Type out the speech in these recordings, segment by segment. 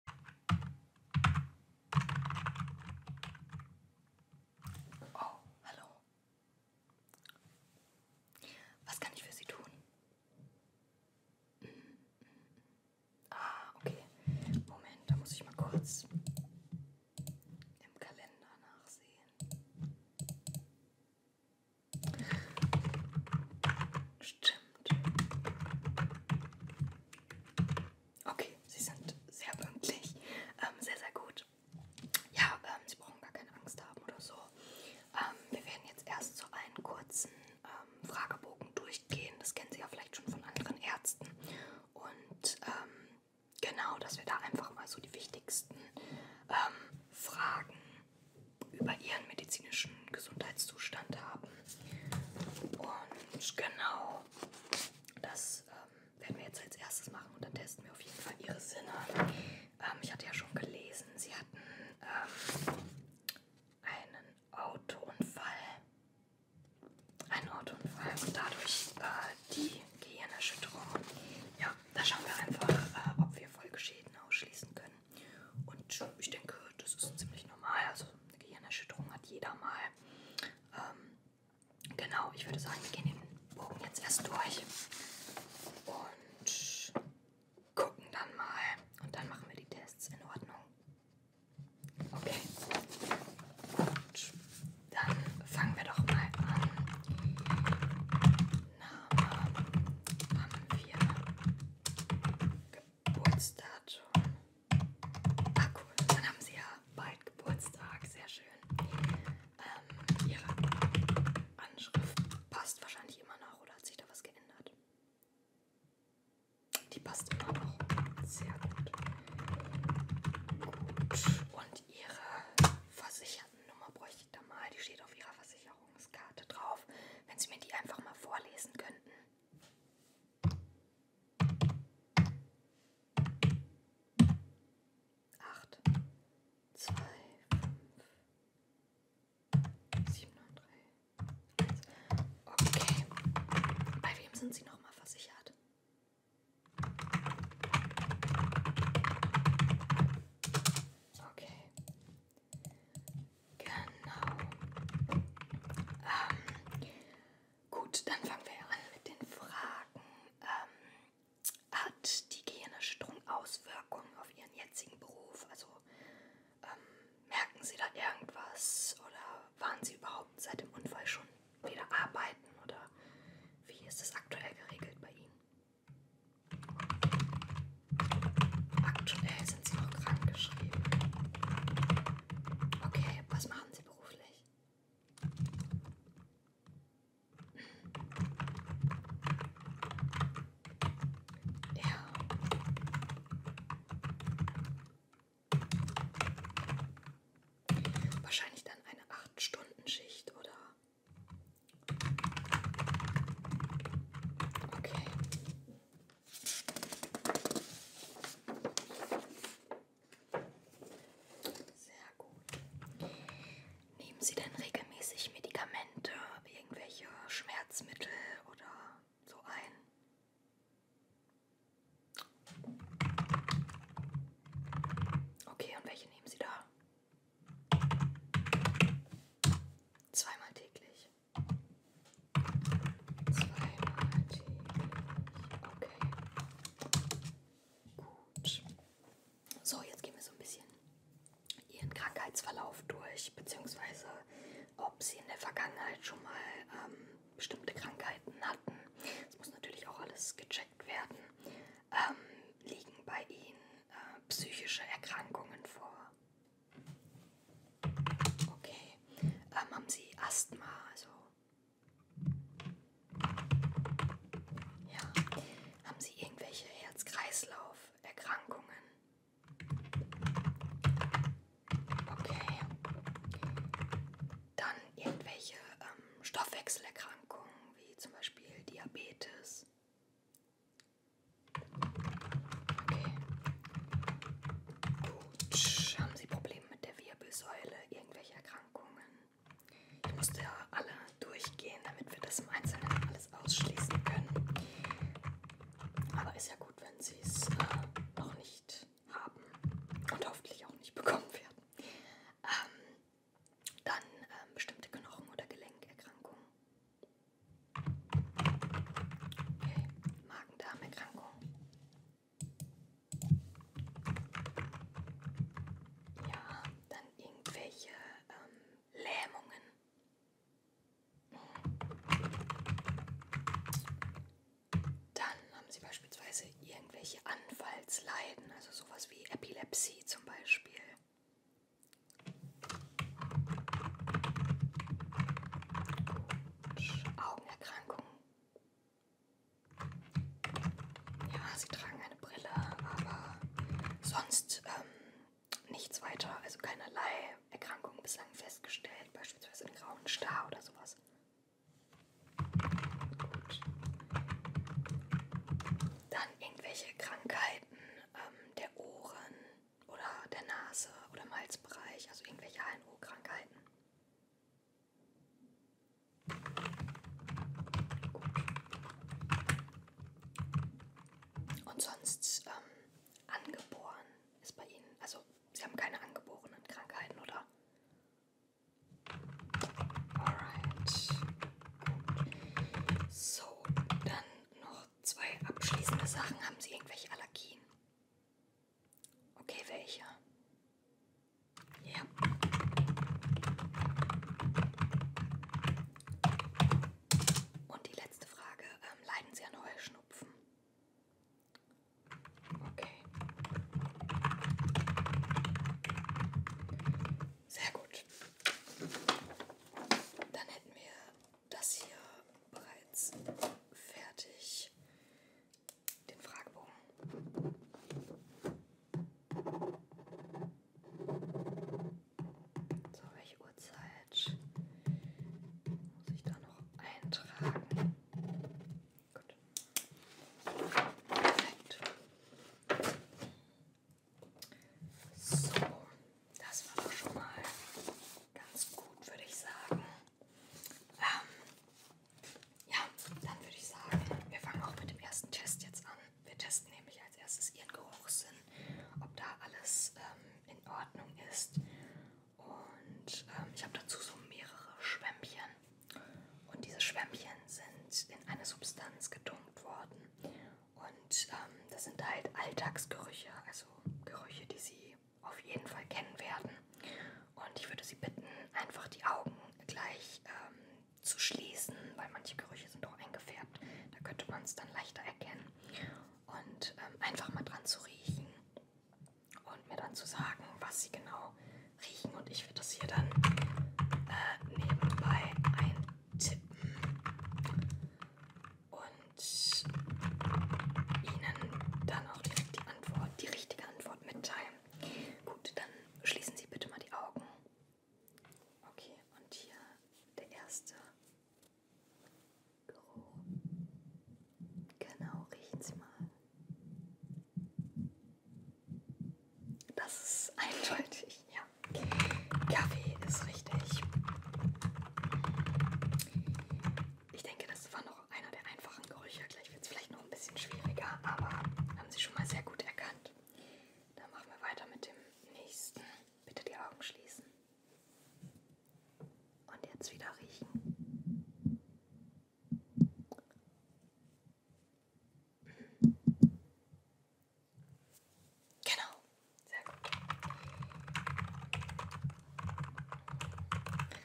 Oh, hallo. Was kann ich für Sie tun? Mhm, mhm, mhm. Ah, okay. Moment, da muss ich mal kurz im Kalender nachsehen. Stimmt. Okay, Sie sind sehr pünktlich. Ähm, sehr, sehr gut. Ja, ähm, Sie brauchen gar keine Angst haben oder so. Ähm, wir werden jetzt erst so einen kurzen ähm, Fragebogen durchgehen. Das kennen Sie ja vielleicht schon von anderen Ärzten. Und ähm, genau, dass wir da einfach mal so die wichtigsten ähm, Fragen über Ihren medizinischen Gesundheitszustand haben. Und genau, das ähm, werden wir jetzt als erstes machen und dann testen wir auf jeden Fall ihre Sinne. Ähm, ich hatte ja schon gelesen, sie hatten ähm, einen Autounfall. Einen Autounfall und dadurch äh, die Gehirnerschütterung. Ja, da schauen wir einfach, äh, ob wir Folgeschäden ausschließen können. Und ich denke, das ist ziemlich normal. Also eine Gehirnerschütterung hat jeder mal. Ähm, genau, ich würde sagen, wir gehen den Bogen jetzt erst durch und gucken dann mal. Und dann machen wir die Tests in Ordnung. Okay. Gut. Dann fangen wir doch mal an. Name haben wir Geburtsdatum. Ah cool, dann haben sie ja bald Geburtstag, sehr schön. Ähm, ihre Anschrift passt wahrscheinlich immer noch oder hat sich da was geändert? Die passt immer noch. Sehr gut. Gut. Und ihre Versichertennummer bräuchte ich da mal. Die steht auf ihrer Versicherungskarte drauf. Wenn Sie mir die einfach mal vorlesen könnten. Acht, zwei, fünf, sieben und drei. Eins. Okay. Bei wem sind Sie nochmal versichert? Okay. Genau. Ähm, Gut, dann fangen wir an mit den Fragen. Ähm, hat die Gehirnerschütterung Auswirkungen auf Ihren jetzigen Beruf? Also ähm, merken Sie da irgendwas oder waren Sie überhaupt seit dem Unfall schon wieder arbeiten oder wie ist das aktuell geregelt bei Ihnen? Aktuell sind Sie noch krankgeschrieben. Okay, was machen machen Sie beruflich? Ja. Wahrscheinlich dann eine 8-Stunden-Schicht oder. Okay. Sehr gut. Nehmen Sie denn regelmäßig Medikamente, irgendwelche Schmerzmittel oder so ein? Okay, und welche nehmen Sie da? Zweimal täglich. Zweimal täglich. Okay. Gut. So, jetzt gehen wir so ein bisschen ihren Krankheitsverlauf durch, beziehungsweise ob sie in der Vergangenheit schon mal ähm, bestimmte Krankheiten hatten. Das muss natürlich auch alles gecheckt werden. Ähm, liegen bei ihnen äh, psychische Erkrankungen vor? Okay. Ähm, haben sie Asthma, also ja. Haben Sie irgendwelche Herz-Kreislauf-Erkrankungen? Okay. Dann irgendwelche ähm, Stoffwechselerkrankungen, wie zum Beispiel Diabetes. Okay. Gut. Haben Sie Probleme mit der Wirbelsäule, irgendwelche Erkrankungen. Ich musste ja alle durchgehen, damit wir das im Einzelnen alles ausschließen können. Aber ist ja gut, wenn Sie es äh, noch nicht haben und hoffentlich auch nicht bekommen werden. Ähm, dann ähm, bestimmte Knochen- oder Gelenkerkrankungen. Okay, Magen-Darm-Erkrankung. Ja, dann irgendwelche ähm, Lähmungen. Dann haben sie beispielsweise irgendwelche Anfallsleiden, also sowas wie Epilepsie zum Beispiel. Gut. Augenerkrankungen. Ja, sie tragen eine Brille, aber sonst ähm, nichts weiter, also keinerlei Erkrankungen bislang festgestellt, beispielsweise einen grauen Star oder sowas. Gut. Dann irgendwelche Krankheiten ähm, der Ohren oder der Nase oder im Halsbereich, also irgendwelche HNO-Krankheiten. Und sonst ähm, angeboren ist bei Ihnen, also Sie haben keine angeborenen Krankheiten, oder? Alright. Gut. So, dann noch zwei abschließende Sachen. Haben Sie irgendwelche Allergien? Okay, welcher? Ja. Und die letzte Frage, ähm, leiden Sie an Heuschnupfen? Okay. Sehr gut. Dann hätten wir das hier bereits fertig den Fragebogen. So, welche Uhrzeit muss ich da noch eintragen? Gut. Perfekt. So, das war doch schon mal ganz gut, würde ich sagen. Ähm, ja, dann würde ich sagen, wir fangen auch mit dem ersten Test jetzt an. Wir testen nämlich als erstes Ihren Geruchssinn, ob da alles ähm, in Ordnung ist. Und ähm, ich habe dazu so mehrere Schwämmchen. Und diese Schwämmchen sind in eine Substanz gedunkt worden. Und ähm, das sind halt Alltagsgerüche, also Gerüche, die Sie auf jeden Fall kennen werden. Und ich würde Sie bitten, einfach die Augen gleich ähm, zu schließen, weil manche Gerüche sind auch eingefärbt. Da könnte man es dann leichter erkennen. Und ähm, einfach mal dran zu riechen und mir dann zu sagen, was Sie genau riechen. Und ich werde das hier dann äh, nebenbei eintippen und Ihnen dann auch direkt die Antwort, die richtige Antwort mitteilen. Gut, dann schließen Sie bitte mal die Augen. Okay, und hier der erste Geruch. Genau, riechen Sie mal. Das ist eindeutig, ja. Kaffee ist richtig. Ich denke, das war noch einer der einfachen Gerüche. Gleich wird es vielleicht noch ein bisschen schwieriger, aber haben Sie schon mal sehr gut erkannt. Dann machen wir weiter mit dem nächsten. Bitte die Augen schließen. Und jetzt wieder riechen. Genau, sehr gut.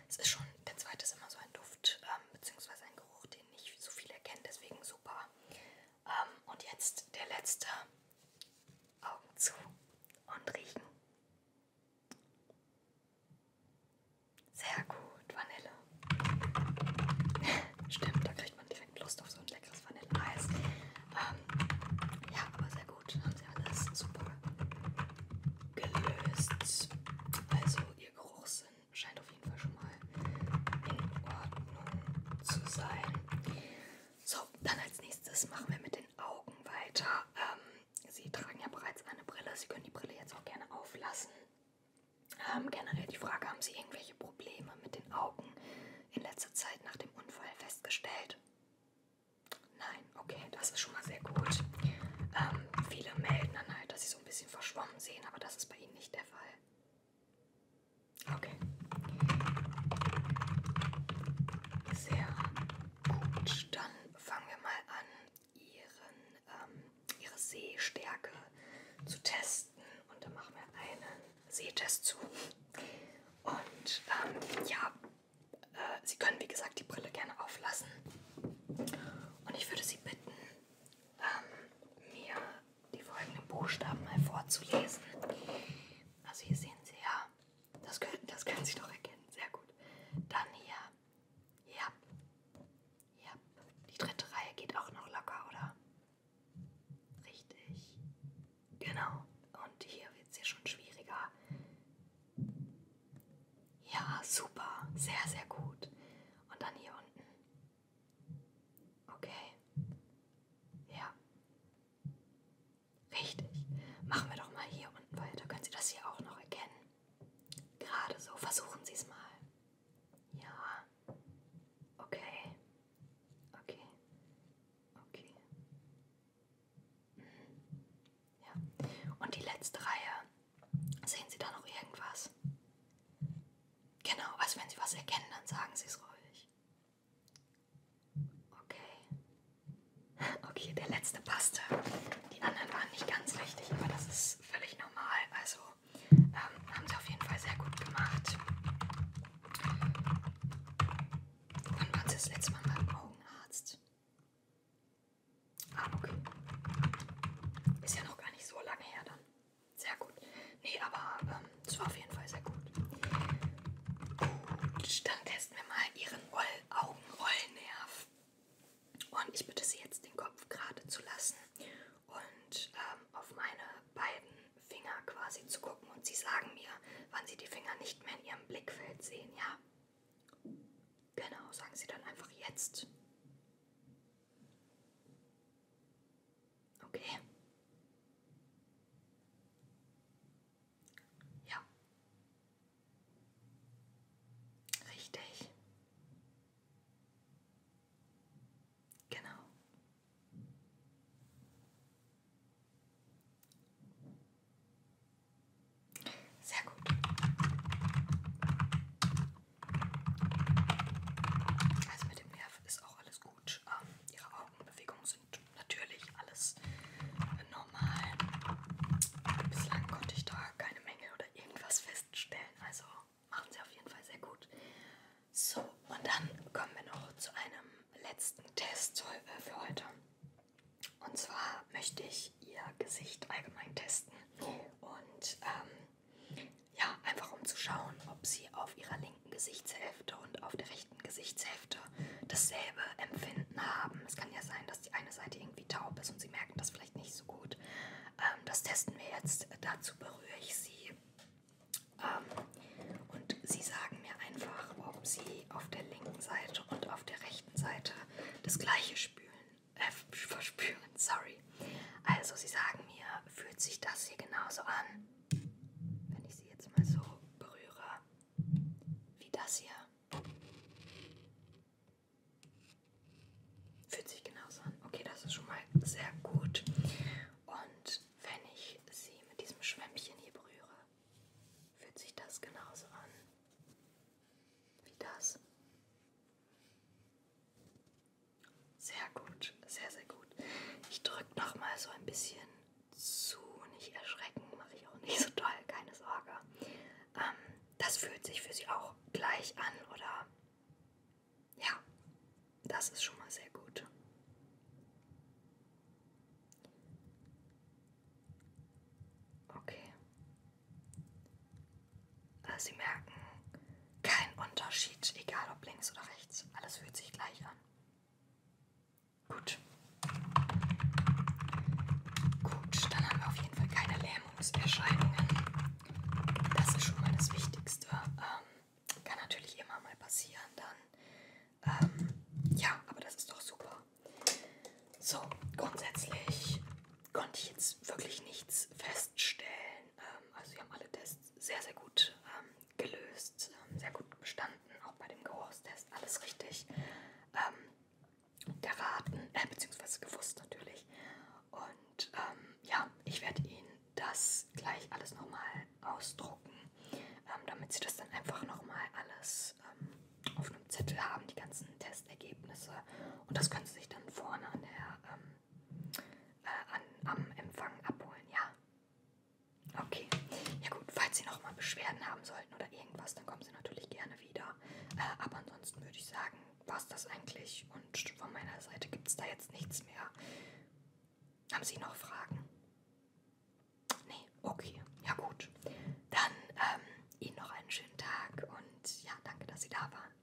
Es ist schon, der zweite ist immer so ein Duft, ähm, beziehungsweise ein Geruch, den nicht so viele kennen, deswegen super. Ähm, und jetzt der letzte. Augen zu und riechen. Sehr gut, Vanille. Stimmt, da kriegt man direkt Lust auf so ein leckeres Vanilleeis. Ähm, ja, aber sehr gut, haben sie alles super gelöst. Also ihr Geruchssinn scheint auf jeden Fall schon mal in Ordnung zu sein. So, dann als nächstes machen wir mit den Augen weiter. Ähm, Sie tragen ja bereits eine Brille. Sie können die Brille jetzt auch gerne auflassen. Ähm, generell die Frage, haben Sie irgendwelche Probleme mit den Augen in letzter Zeit nach dem Unfall festgestellt? Nein, okay, das ist schon mal sehr gut. Ähm, viele melden dann halt, dass sie so so ein bisschen verschwommen sehen, aber das ist bei Ihnen nicht der Fall. Okay. Sehr gut. Dann fangen wir mal an, Ihren, ähm, Ihre Sehstärke zu testen. Und dann machen wir einen Sehtest zu. Und ähm, ja, äh, Sie können wie gesagt die Brille gerne auflassen. Und ich würde Sie bitten, ähm, mir die folgenden Buchstaben mal vorzulesen. Also hier sehen Sie ja, das können, das können Sie doch erkennen, sehr gut. Dann hier, ja, ja, die dritte Reihe geht auch noch locker, oder? Richtig, genau. Und hier wird es ja schon schwieriger. Ja, super, sehr, sehr gut. Und dann hier unten. Okay. Ja. Richtig. Machen wir doch mal hier unten weiter. Können Sie das hier auch noch erkennen? Gerade so. Versuchen Sie es mal. Ja. Okay. Okay. Okay. Mhm. Ja. Und die letzte Reihe Sehen Sie da noch irgendwas? Genau, also wenn Sie was erkennen, dann sagen Sie es ruhig. Okay. Okay, der letzte passte. Die anderen waren nicht ganz richtig, aber das ist völlig normal. Also ähm, haben Sie auf jeden Fall sehr gut gemacht. Wann waren Sie das letzte Mal beim Augenarzt? Ah, okay. Ist ja noch gar nicht so lange her dann. Sehr gut. Nee, aber ähm, es war auf jeden Fall sehr gut. Gut, dann testen wir mal Ihren Augenrollnerv. Und ich bitte Sie jetzt, den Kopf gerade zu lassen und ähm, auf meine beiden Finger quasi zu gucken. Und Sie sagen mir, wann Sie die Finger nicht mehr in Ihrem Blickfeld sehen, ja? Genau, sagen Sie dann einfach jetzt. Okay. Ja. Richtig. Genau. Sehr gut. Also mit dem Nerv ist auch alles gut. Ähm, ihre Augenbewegungen sind natürlich alles normal. Bislang konnte ich da keine Mängel oder irgendwas feststellen. Also machen sie auf jeden Fall sehr gut. So, und dann kommen wir noch zu einem letzten Test äh, für heute. Und zwar möchte ich ihr Gesicht allgemein testen. Und ähm, ja, einfach um zu schauen, ob sie auf ihrer linken Gesichtshälfte und auf der rechten Gesichtshälfte dasselbe Empfinden haben. Es kann ja sein, dass die eine Seite irgendwie taub ist und sie merken das vielleicht nicht so gut. Ähm, das testen wir jetzt. Dazu berühre ich sie. Ähm, und sie sagen mir einfach, ob sie auf der linken Seite und auf der rechten Seite das gleiche spülen äh, verspüren, sorry. Also sie sagen mir, fühlt sich das hier genauso an, wenn ich sie jetzt mal so berühre, wie das hier. Fühlt sich genauso an. Okay, das ist schon mal sehr gut. Und wenn ich sie mit diesem Schwämmchen hier berühre, fühlt sich das genauso an wie das. Sehr gut, sehr, sehr gut. Ich drücke nochmal so ein bisschen zu, nicht erschrecken, mache ich auch nicht so toll, keine Sorge. Ähm, das fühlt sich für Sie auch gleich an, oder? Ja, das ist schon mal sehr gut. Okay. Ah, sie merken keinen Unterschied, egal ob links oder rechts. Alles fühlt sich gleich an. Gut. Gut, dann haben wir auf jeden Fall keine Lähmungserscheinungen. Das ist schon mal das Wichtigste. Ähm, kann natürlich immer mal passieren dann. Ähm, ja, aber das ist doch super. So, grundsätzlich konnte ich jetzt wirklich nichts feststellen. Ähm, also wir haben alle Tests Test sehr, sehr gut ähm, gelöst, ähm, sehr gut bestanden, auch bei dem Geruchstest, alles richtig ähm, geraten, äh, beziehungsweise gewusst natürlich. Und ähm, ja, ich werde Ihnen das gleich alles nochmal ausdrucken, ähm, damit Sie das dann einfach nochmal alles ähm, auf einem Zettel haben, die ganzen Testergebnisse. Und das können Sie sich dann vorne an der ähm, äh, an, am Empfang abholen, ja? Okay. Ja gut, falls Sie nochmal Beschwerden haben sollten oder irgendwas, dann kommen Sie natürlich gerne wieder. Äh, aber ansonsten würde ich sagen, war es das eigentlich und von meiner Seite gibt es da jetzt nichts mehr. Haben Sie noch Fragen? Nee, okay. Ja gut. Dann ähm, Ihnen noch einen schönen Tag und ja, danke, dass Sie da waren.